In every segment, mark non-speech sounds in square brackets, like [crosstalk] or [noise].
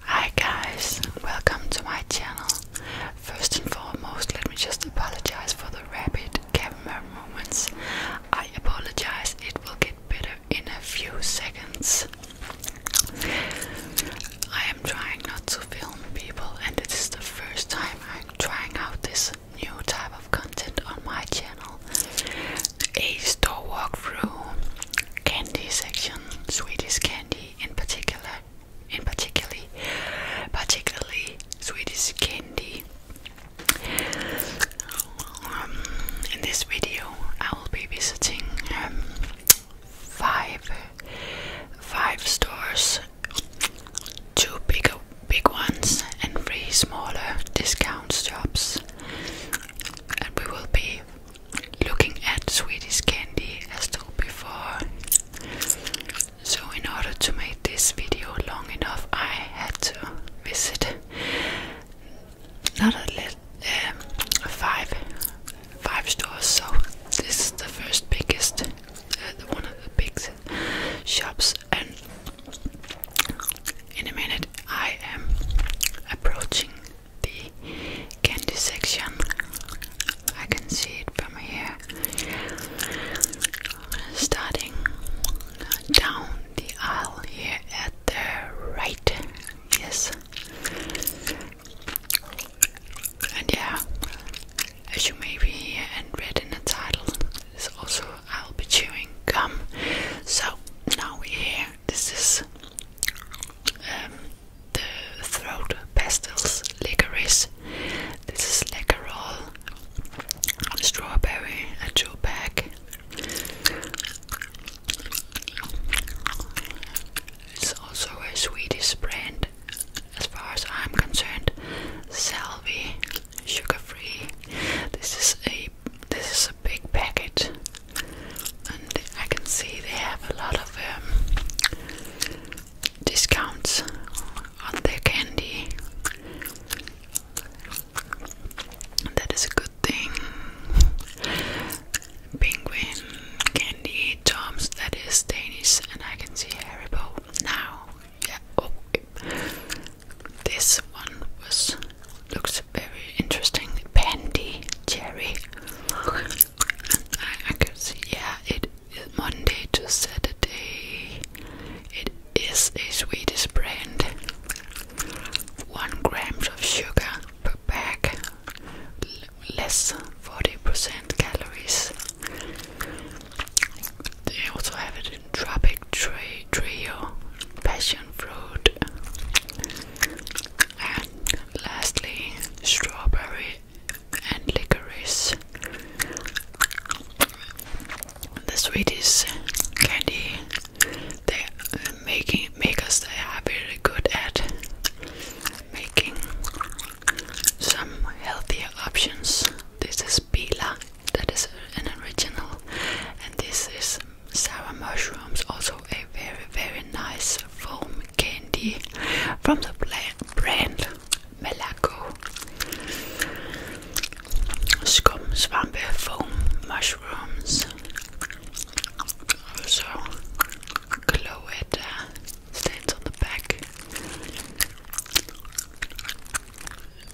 Hi guys, welcome to my channel. First and foremost, let me just apologize for the rapid camera movements. I apologize, it will get better in a few seconds. I am trying not to film people, and this is the first time I'm trying out this new type of content on my channel a store walk through, candy section, Swedish candy in particular in particularly particularly Swedish candy um, in this video I will be visiting um, five five stores two big big ones and three smaller discount shops and we will be looking at Swedish candy as told before. So, in order to make this video long enough, I had to visit not a little, um, five, five stores. So, this is the first biggest, uh, one of the biggest shops. And in a minute, I am approaching the candy section. I can see it from here. Starting down the aisle here at the right. Yes. And yeah, as you may be and read in the title, is also I'll be chewing gum. So now we're here. This is um, the throat pastels, licorice. This is lickerol, strawberry, a two pack. It's also a Swedish brand, as far as I'm concerned. Selby sugar free. This is a this is a big packet and I can see they have a lot of um, discounts on their candy. That is a good thing. Penguin candy, Tom's, that is Danish, and I can see Haribo now. Yeah, oh, this one was looks very interesting. Pandy cherry. I, I can see, yeah, it is Monday to Saturday. It is a Swedish brand. One grams of sugar per bag, less 40% calories. They also have it in Tropic Tree Trio, Passion Fruit, and lastly strawberry and licorice. This Swedish candy they making make they are very good at making some healthier options. This is pila, that is an original, and this is sour mushrooms, also a very very nice foam candy from the brand Malaco. Scum Swamp foam mushrooms. Also Cloetta stands on the back.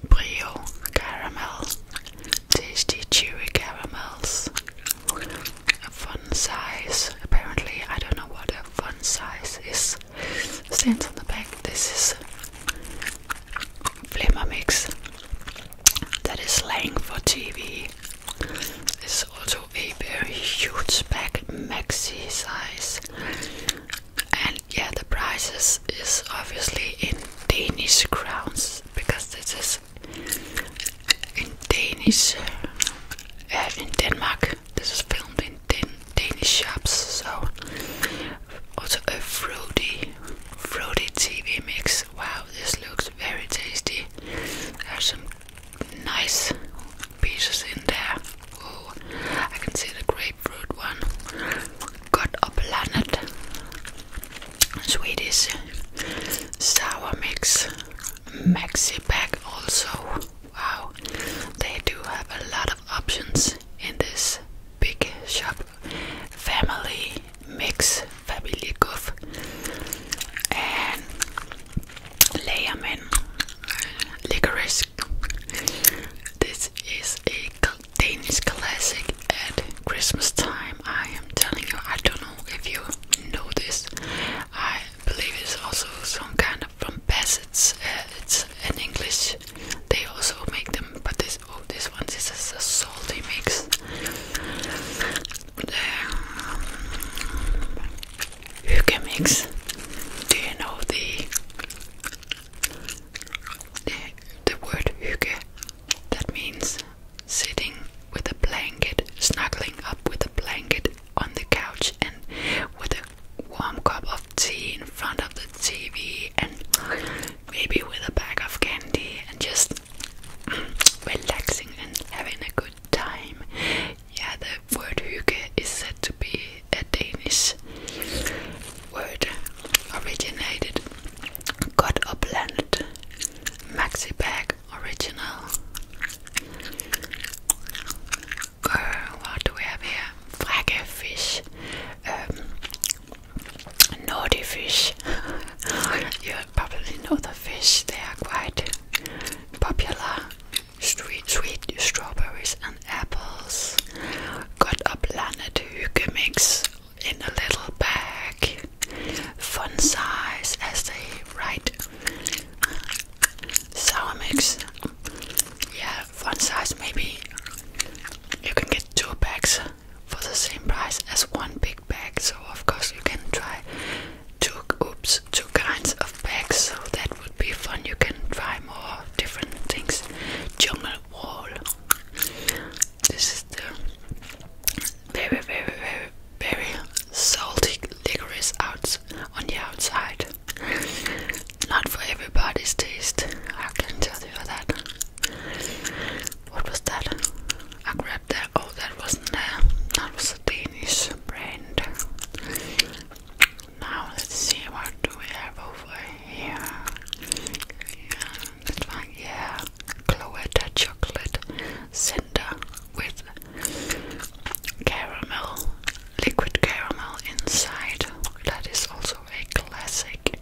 Brio caramel, tasty chewy caramels, a fun size. Apparently, I don't know what a fun size is. Stands on the back. This is Flimmer Mix that is slang for TV. It's also a very huge bag, maxi size. And yeah, the prices is obviously in Danish crowns because this is in Danish, eh, in Denmark. This is filmed in Dan Danish shops, so also a fruity, fruity TV mix. Wow, this looks very tasty. There's some nice pieces in there. Oh, I can see the grapefruit one. Got a planet. Swedish sour mix maxi pack also. Wow, they do have a lot of options in this big shop. Family mix, family goof, and layerman licorice. This is a Danish classic at Christmas time. I am telling you, I don't know if you know this. I believe it's also some kind of from Bassett's. Uh, it's in English. They also make them, but this oh, this one this is a salty mix. Um, you can mix. Do you know the the, the word hygge? That means sitting with a blanket, snuggling up with a blanket on the couch, and with a warm cup of tea in front of the TV, and maybe with a bag of candy, and just [clears throat] relaxing and having a good time. Yeah, the word hygge is said to be a Danish word originated. got or planet Maxi Bag Original. what do we have here? Frage fish. Um, naughty fish. [laughs] you probably know the fish, they are quite popular. Sweet, sweet strawberries and apples. Got a planet You can mix in a little bag, fun size as they write. Sour mix, yeah, fun size. Maybe you can get two bags for the same price as one big bag. So of course you can try two oops two kinds of bags. So that would be fun. You can try more different things. Jungle wall. This is the very, very, very, very salty liquorice out on the outside. Not for everybody's taste. I can tell you that. What was that? I grabbed that. Oh, that wasn't there. That was a Danish brand. Now let's see what do we have over here. Yeah, Cloetta chocolate cinder with caramel, liquid caramel inside. That is also a classic.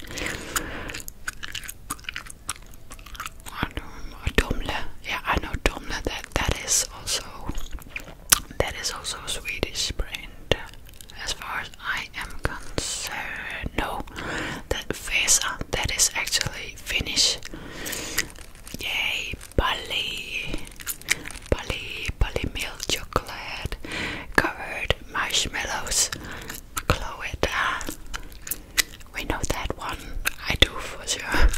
Domle, yeah, I know Domle. That that is also that is also a Swedish brand. As far as I am concerned, no, that Vesa. That is actually Finish! Yay, Bali. Bali, Bali milk chocolate, covered marshmallows. Cloetta. We know that one. I do for sure.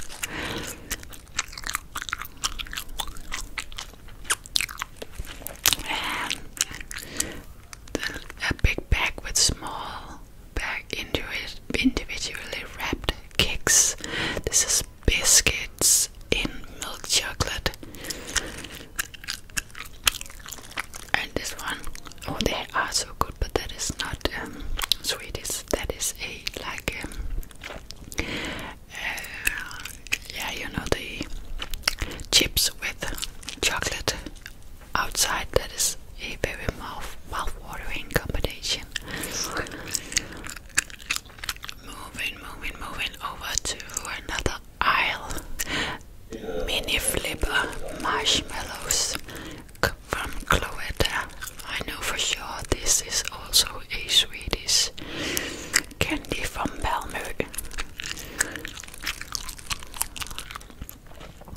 And a big bag with small back into it individually wrapped cakes. This is biscuits in milk chocolate. And this one, oh, they are so good, but that is not um, Swedish. That is a like, um, uh, yeah, you know the chips with chocolate outside. That is a very mouth watering combination. moving, moving, moving over to another aisle. Mini flipper marshmallows from Cloetta. I know for sure this is also a Swedish candy from Palmer.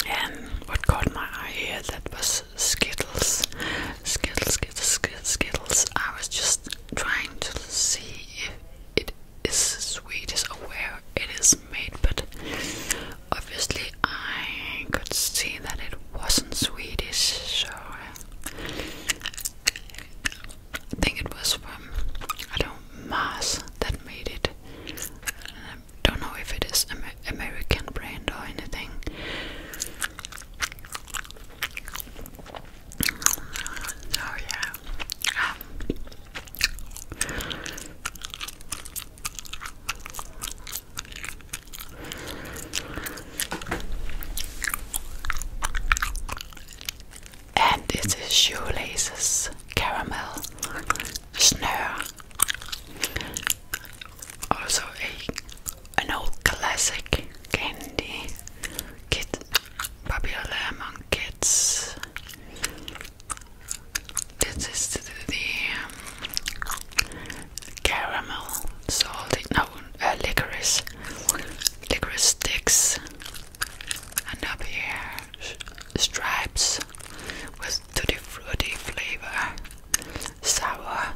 And what caught my eye that was Skittles. Skittles, Skittles, Skittles, I was just trying to see if it is Swedish or where it is made, but obviously I could see that it wasn't Swedish, so I think it was from I don't Mars that made it. I don't know if it is American brand or anything. So yeah. Um, shoelaces caramel snare. Also a an old classic candy kid popular among kids. This is the, the um, caramel salted no uh, licorice licorice sticks and up here stripes with this tutti fruity flavor, sour.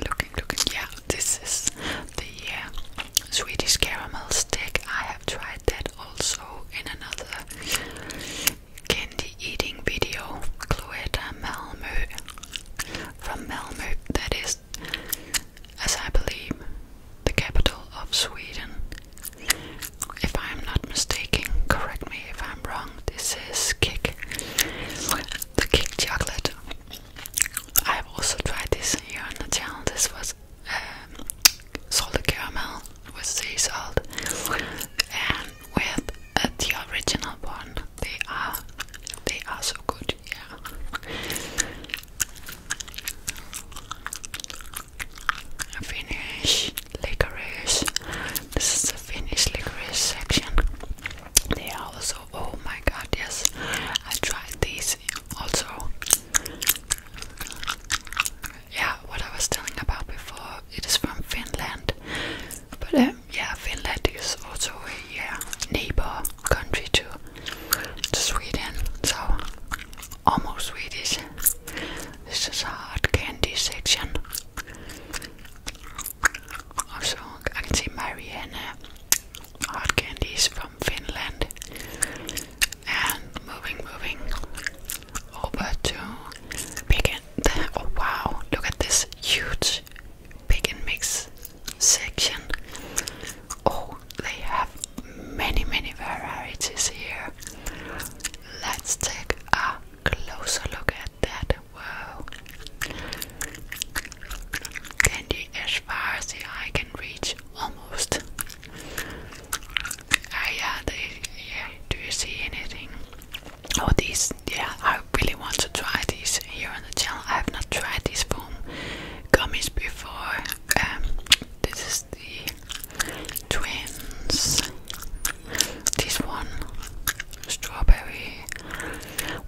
Looking, looking, yeah, this is the uh, Swedish caramel stick. I have tried that also in another candy eating video. Cloetta Malmö from Melmo. that is as I believe, the capital of Sweden. If I am not mistaken, correct me if I'm wrong, this is Kick. The Kick chocolate. I have also tried this here on the channel. This was um, caramel with sea salt and with uh, the original one. They are they are so good yeah. Finnish licorice. This is the Finnish licorice section. They are also oh my god yes I tried these also yeah what I was telling about before it is from Finland but uh, yeah, Finland is also a neighbor country to, Sweden, so almost Swedish. This is a hard candy section. Also, I can see Marianne. Uh, hard candies from Finland. And moving, moving over to Big oh, wow, look at this huge pick and mix section. Oh, they have many, many varieties here. Let's take a closer look at that. Wow. Candy as far as the eye can reach, almost. Ah, yeah, yeah. Do you see anything? Oh, these, yeah, I really want to try these here on the channel. I have not tried these form gummies before. Um, this is the twins. This one, strawberry,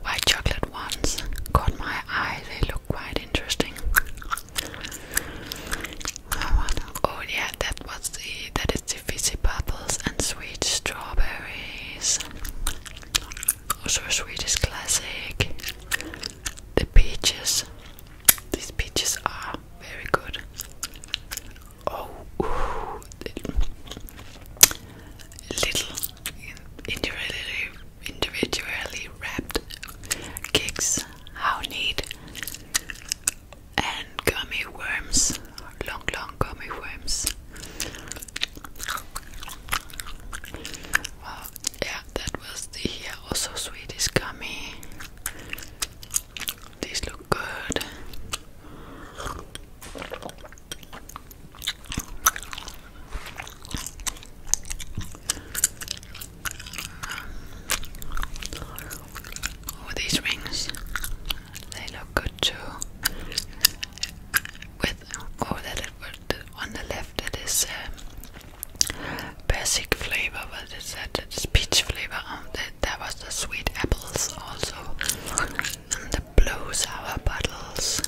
white chocolate ones, caught my eye. They look quite interesting. Oh yeah, that was the that is the fizzy bubbles and sweet strawberries. Also a Swedish classic. The peaches. These peaches are very good. Oh, little individually, individually wrapped cakes. How neat! And gummy worms, long, long gummy worms. Well, yeah, that was the also Swedish gummy. These look good. Oh, these rings, they look good too with or that it on the left it is um, basic flavor, but it said it's peach flavor. Um, that was the sweet apples also, and the blue sour bottles.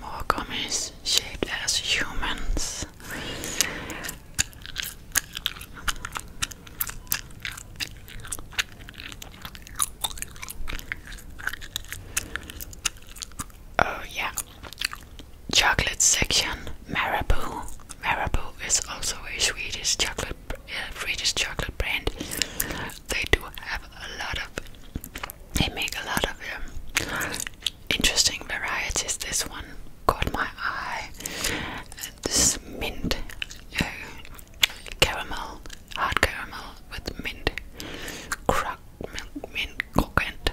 More gummies shaped as humans. Oh yeah. Chocolate section Marabou. Marabou is also a Swedish chocolate uh, Swedish chocolate brand. They do have a lot of they make a lot of them. Um, interesting varieties. This one caught my eye. This mint uh, caramel, hard caramel with mint, crack milk, mint coconut.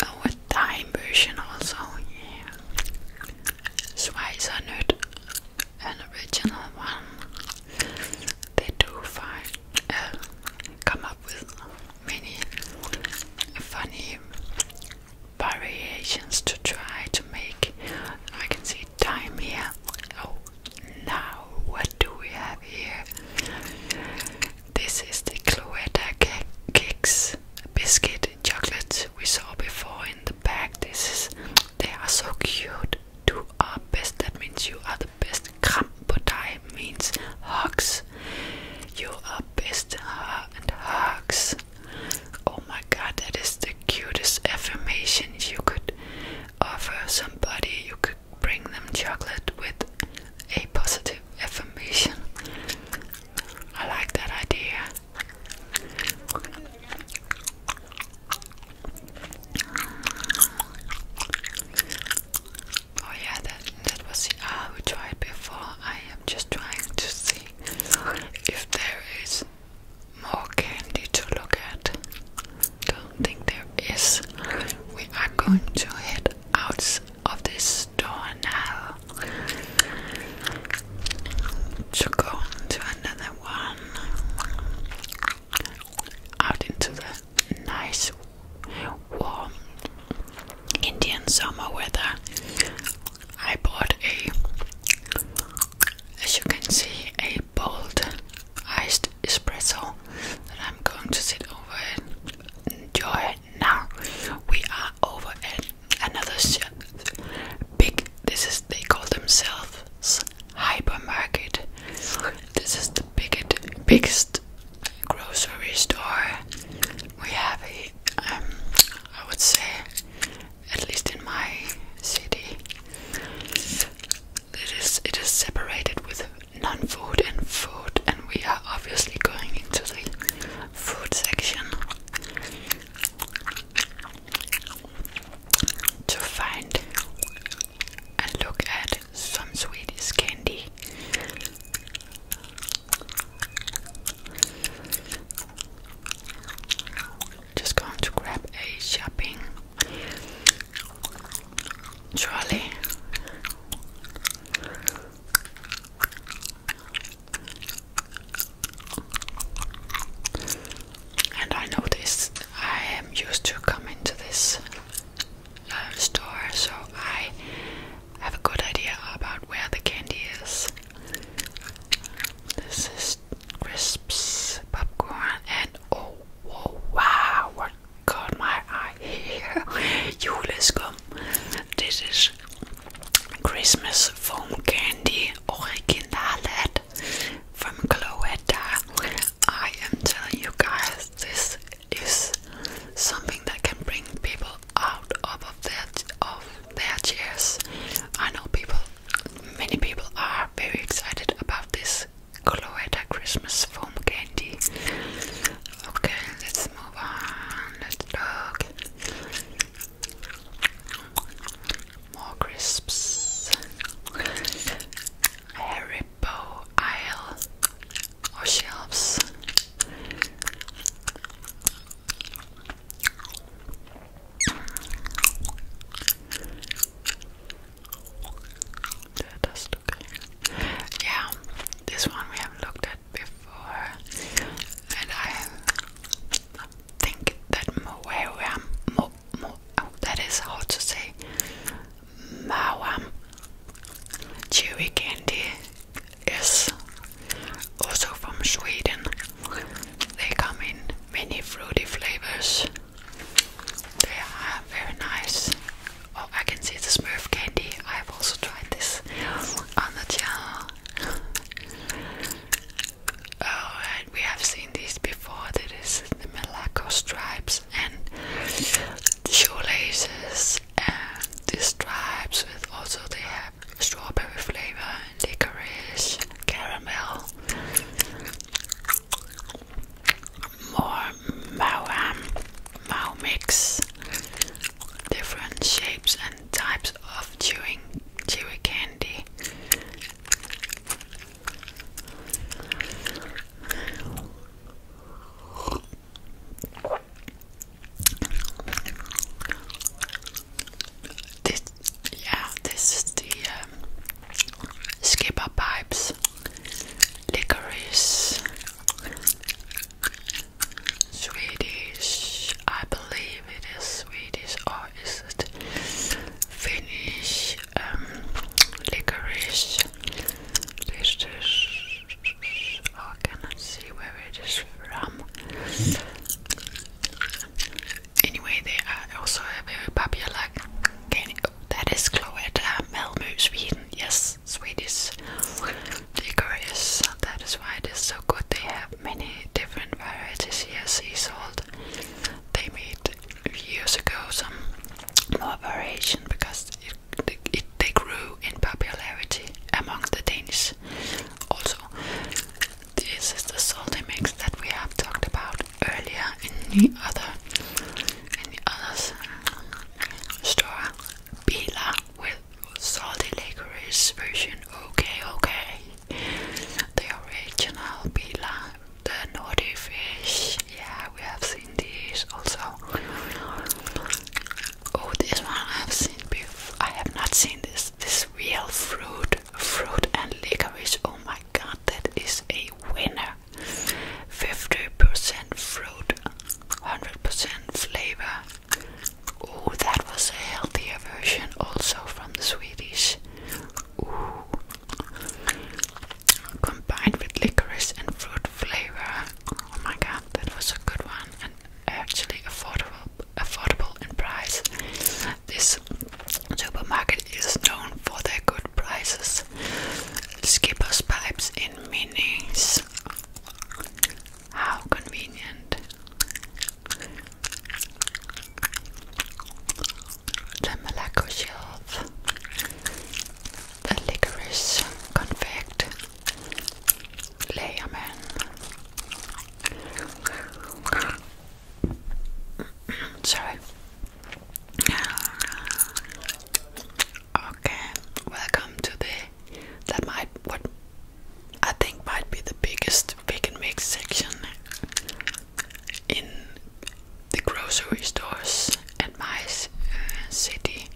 Uh, with a version also. Yeah. Schweizer nut, an original one. They do find, uh, come up with many funny variations to try to make. I can see time here. Oh, now what do we have here? This is the Cloetta Kicks biscuit chocolates we saw before in the bag. This is they are so cute. Do our best. That means you are the best. Krampotai means hugs. You best and hugs. Oh my god, that is the cutest affirmation you could offer somebody. You could bring them chocolate with a positive affirmation. I like that idea. Oh yeah, that that was the ah, R we tried before. I am just trying to see if there is more candy to look at. Don't think there is. We are going to head out of this store now to go to another one. Out into the nice warm Indian summer weather, I bought a, as you can see, a bold iced espresso that I'm going to sit over and enjoy now. We are over at another big, this is, they call themselves hypermarket. This is the biggest, biggest grocery store, we have a, um, I would say, at least in my city, it is it is separated with non-food and food, and we are obviously going into the food section to find and look at some Swedish candy. Just going to grab a shopping trolley. And I noticed I am used to coming to this store, so I have a good idea about where the candy is. This is crisps, popcorn, and oh, whoa, wow, what caught my eye here? [laughs] You let's go. This is Christmas foam candy, originalet from Cloetta. I am telling you guys, this is something that can bring people out of their of their chairs. I know people, many people are very excited about this Cloetta Christmas foam candy. Okay, let's move on. Let's look. More crisps. Haribo aisle. Or shelves. That okay. Yeah, this one we have looked at before, and I, think that Moewam, oh, that is hard to say, Mawam, chewy candy is also from Sweden. They come in many fruity flavors. They are very nice. Oh, I can see the Smurf candy. I've also tried this on the channel. Oh, and we have seen this before. That is the Malaco stripes and shoelaces and these stripes with also they have strawberry flavor and licorice, caramel, more mauam, um, mau mix, different shapes and types of chewing chewy candy. This, yeah, this is the um, skipper pipes, licorice, Swedish. I believe it is Swedish, or is it Finnish? Um, licorice. This is I cannot see where it is from. Anyway, they are also a very popular that is Cloette um, uh, Malmö, Sweden. Yes, Swedish licorice. That is why it is so good. They have many different varieties here. Sea salt. They made years ago some more variation because it, it, they grew in popularity among the Danes. Also, this is the salty mix that we have talked about earlier in the other in the other store. Bila with salty licorice version. Okay, okay. The original Bila, the naughty fish. Yeah, we have seen these also. Oh, this one I've seen before. I have not seen this. This real fruit, fruit and licorice. Oh my god, that is a winner. 50% fruit, 100% flavor. Oh, that was a healthier version also from the Swedish. Ooh. Combined with licorice and fruit flavor. Oh my god, that was a good one and actually affordable affordable in price. This supermarket is known for their good prices. Skipper's pipes in minis. How convenient. The Malaco shelf a licorice confect layer man. [coughs] Sorry. Okay, welcome to the that might what I think might be the biggest pick and mix section in the grocery stores and my uh, city.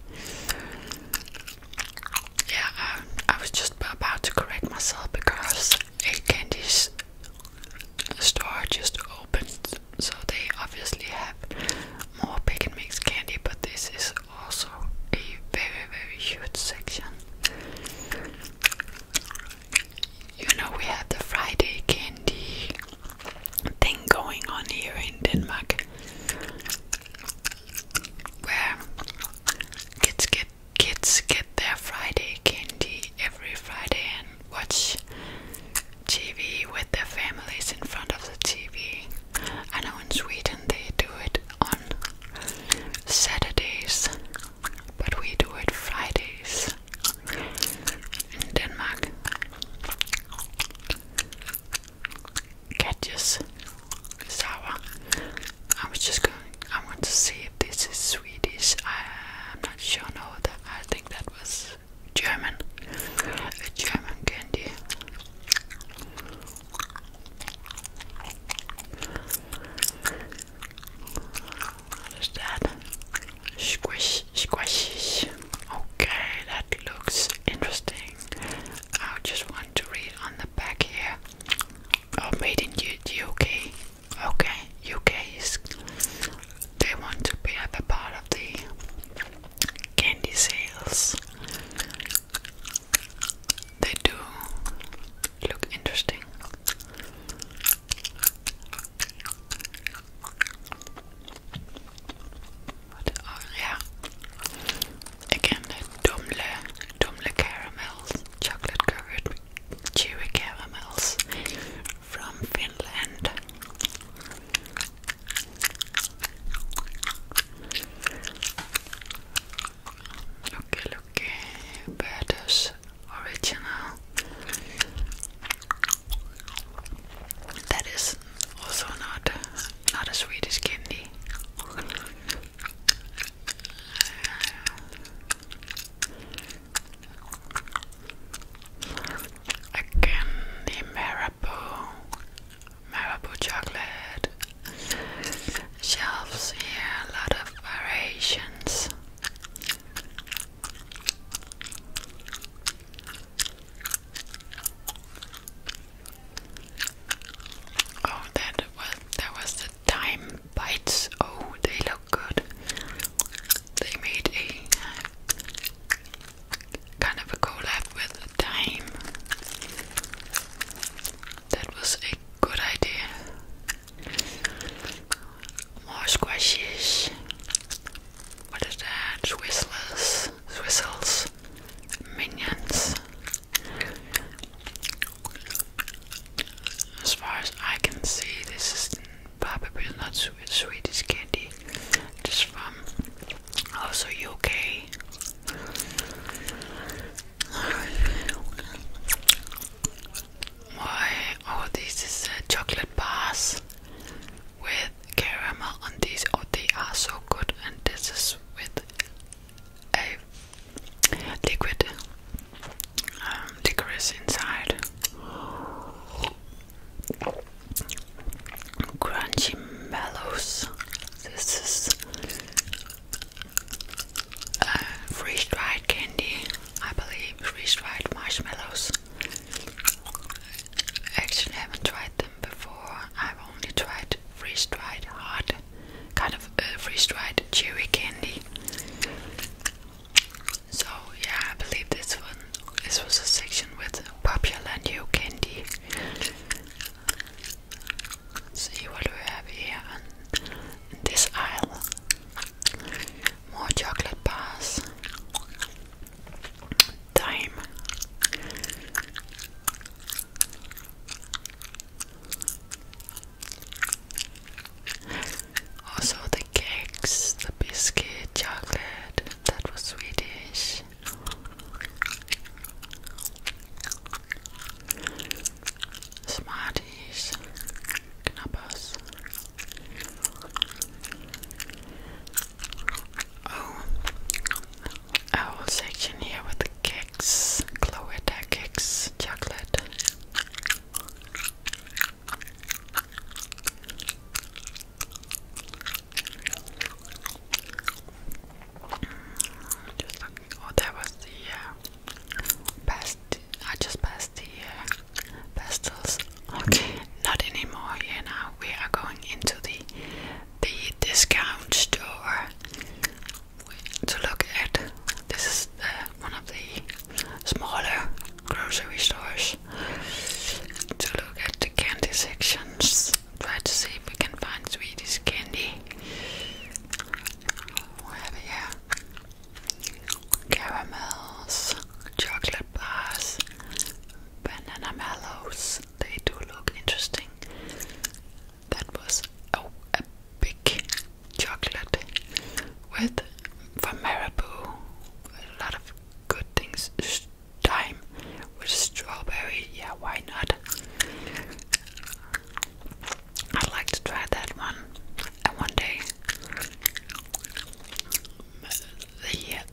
Yeah, I, um, I was just about to correct myself because a candy store just opened, so they obviously have more pick and mix candy, but this is also a very, very huge section. You know, we have the Friday candy, thing going on here in Denmark where kids get kids get their Friday candy every Friday and watch TV with their families in front of the TV. I know in Sweden they do it on Saturdays, but we do it Fridays in Denmark get sour. I was just going. I want to see if this is Swedish. I'm not sure. No, that I think that was German. A German candy. What is that? Squish squishy. Okay, that looks interesting. I just want to read on the back here. Oh, made in the UK. Okay, UK is. They want to be at part of the candy sales. They do look interesting yeah. Again, the Dumle, Dumle caramels, chocolate covered chewy caramels from Finland. Looky, looky, Bertus original. That is also not not as sweet as candy. Again, the Marabou, Marabou chocolate. Shelves here, a lot of variations. Oh, that was that was the time bites. Oh, they look good. They made a kind of a collab with time. That was a good idea. More squashes. What is that? Twizzlers. Whistles, Whistles, Minions. As far as I can see, this is probably not Swedish candy, just from also UK. Why? Oh, this is uh, chocolate bars with caramel on these. Oh, they are so good, and this is with a liquid um, inside. Crunchy mellows. This is uh, freeze dried candy, I believe. Freeze dried marshmallows. I actually haven't tried them before. I've only tried freeze dried hard, kind of uh, freeze dried cherry candy. So yeah, I believe this one. This was a section with popular new candy. see what we have here in this aisle. More chocolate bars time. Also, the cakes, the biscuit, chocolate, that was Swedish. Smarties, Knappers. Oh, a whole section here with the cakes, Cloetta cakes, chocolate. Oh, that was the uh, I just passed the uh, pastels. Okay, not anymore here now. We are going into the the discount store to look at this is one of the smaller grocery stores to look at the candy sections. Try to see if we can find Swedish candy. We have caramels, chocolate bars, banana mallows. They do look interesting. That was oh, a big chocolate with from Marabou. A lot of good things. Time with strawberry. Yeah, why not? I'd like to try that one. And one day, the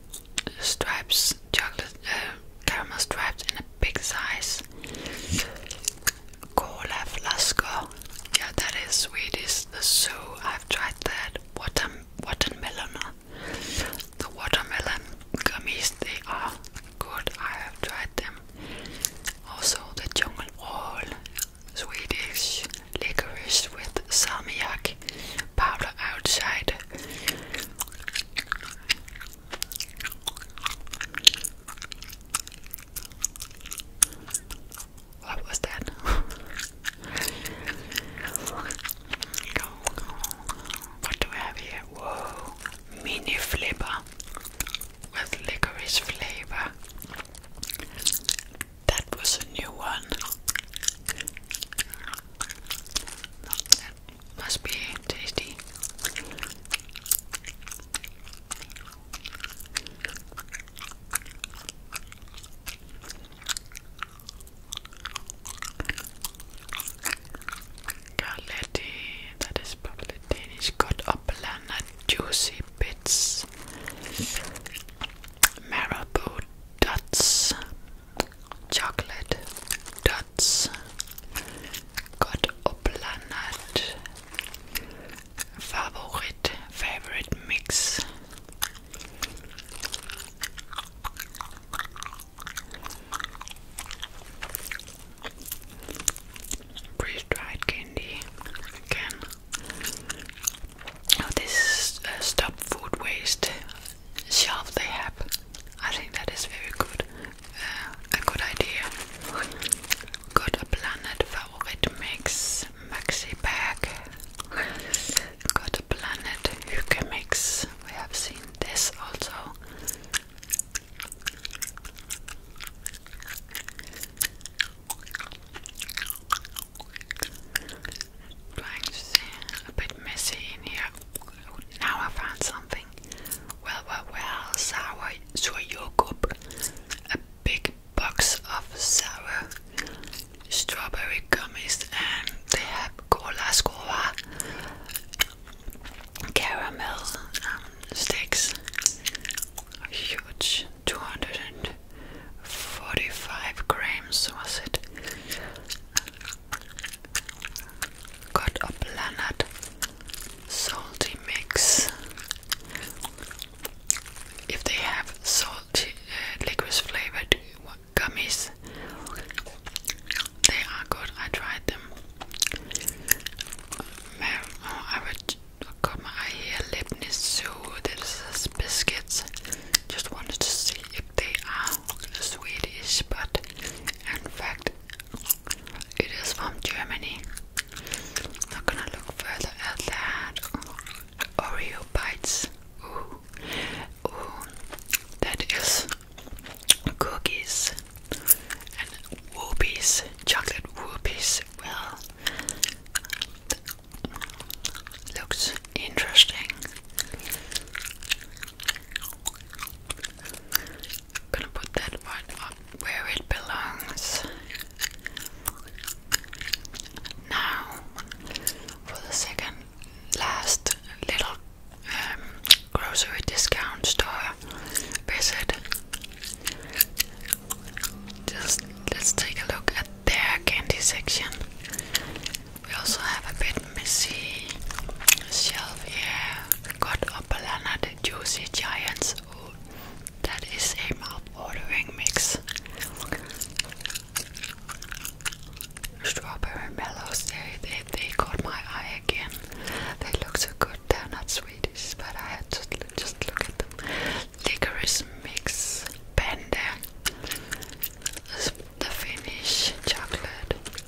stripes, chocolate, uh, caramel stripes in a big size. Cola flasco. Yeah, that is Swedish. The zoo. I've tried that. Water, watermelon. The watermelon gummies. They are good. I have tried them. Also the jungle roll. Swedish licorice with salmiak powder outside. What was that? [laughs] what do we have here? Whoa, mini flipper with licorice flavor. That was a new one. must be tasty. Galletti, that is probably Danish, got juicy bits. Marabou dots, chocolate dots, God Oblanat, favorite, favorite mix. Freeze dried candy again. Oh, this stop food waste shelf they have. I think that is very good, uh, a good idea. Got a planet favorite mix maxi bag. Got a planet Hygge mix. We have seen this also trying to see a bit messy in here. now I found something. Well, well, well, sour soy yogurt, a big box of sour strawberry gummies, and they have cola cola, caramel um, sticks, huge, two hundred and 45 grams was it? Got a planet salty mix. If they have salty uh, licorice flavored gummies, they are good. I tried them. Oh, I would got here. Lipnitz Zoo. This is biscuits. Just wanted to see if they are Swedish, but in fact, it is from Germany. Not gonna look further at that. Oreo bites. Ooh, ooh, that is cookies and whoopies, chocolate whoopies. Well, Looks interesting. gonna put that one where it belongs. Now, for the second last little um, grocery discount store visit, just let's take a look at their candy section. We also have a bit messy shelf here. got a banana, the juicy giants. Oh, that is a mouth-watering mix. Strawberry mellows. They, they they caught my eye again. They look so good. They're not Swedish, but I had to just look at them licorice mix panda, the Finnish chocolate,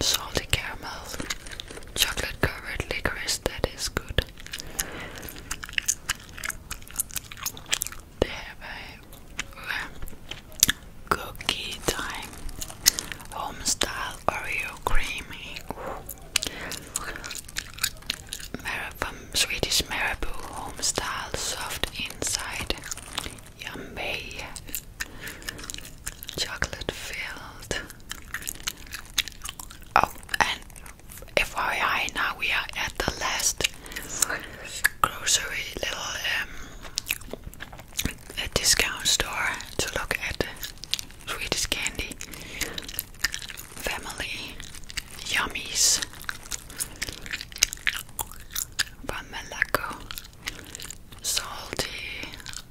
salty caramel, chocolate covered licorice that is good. They have a um, cookie time, home style Oreo creamy from Swedish Marabou home style, soft inside, yummy, chocolate filled. Oh, and FYI, now we are at the last grocery little um, a discount store to look at Swedish candy family yummies from Malaco. Salty,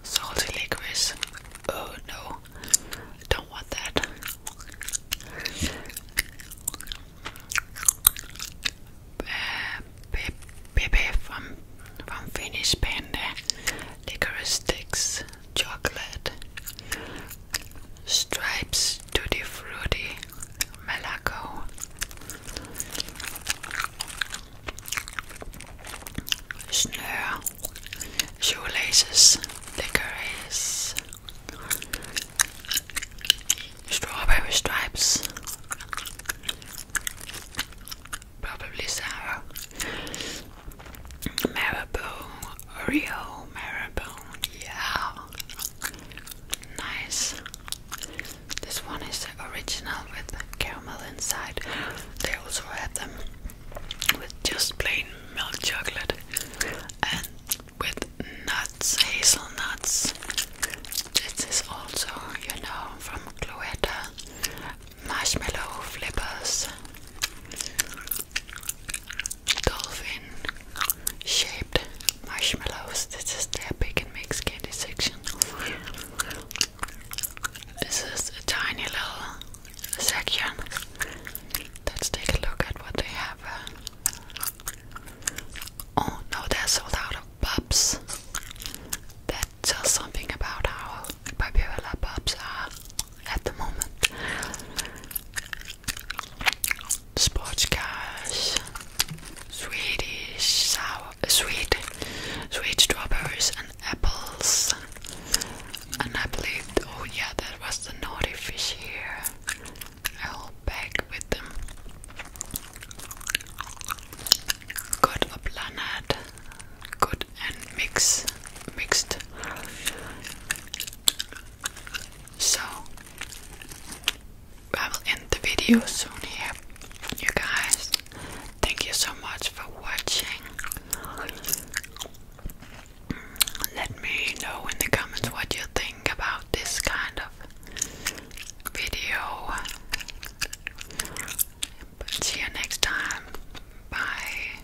salty licorice. Oh no, don't want that. Uh, from from Finnish Panda, licorice sticks, chocolate, Stripes Tutti Frutti Malaco Snare Shoelaces Licorice Strawberry Stripes Probably sour Marabou Rio Maribone, yeah, nice. This one is original with caramel inside. They also have them with just plain milk chocolate and with nuts, hazelnuts. This is also, you know, from Cloetta marshmallow flippers dolphin shaped marshmallows. This is their pick and mix candy section. This is a tiny little section. Let's take a look at what they have. Oh no, they're sold out of bubs. That tells something about how popular bubs are at the moment. sports cars, Swedish sour, uh, sweet, sweet strawberries and apples. And I believe, oh yeah, that was the naughty fish here. I hold back with them. Got a planet, good and mixed, mixed. So I will end the video soon here, you guys. Thank you so much for watching. Mm, let me know in the comments what you think about this kind of video. see you next time. Bye.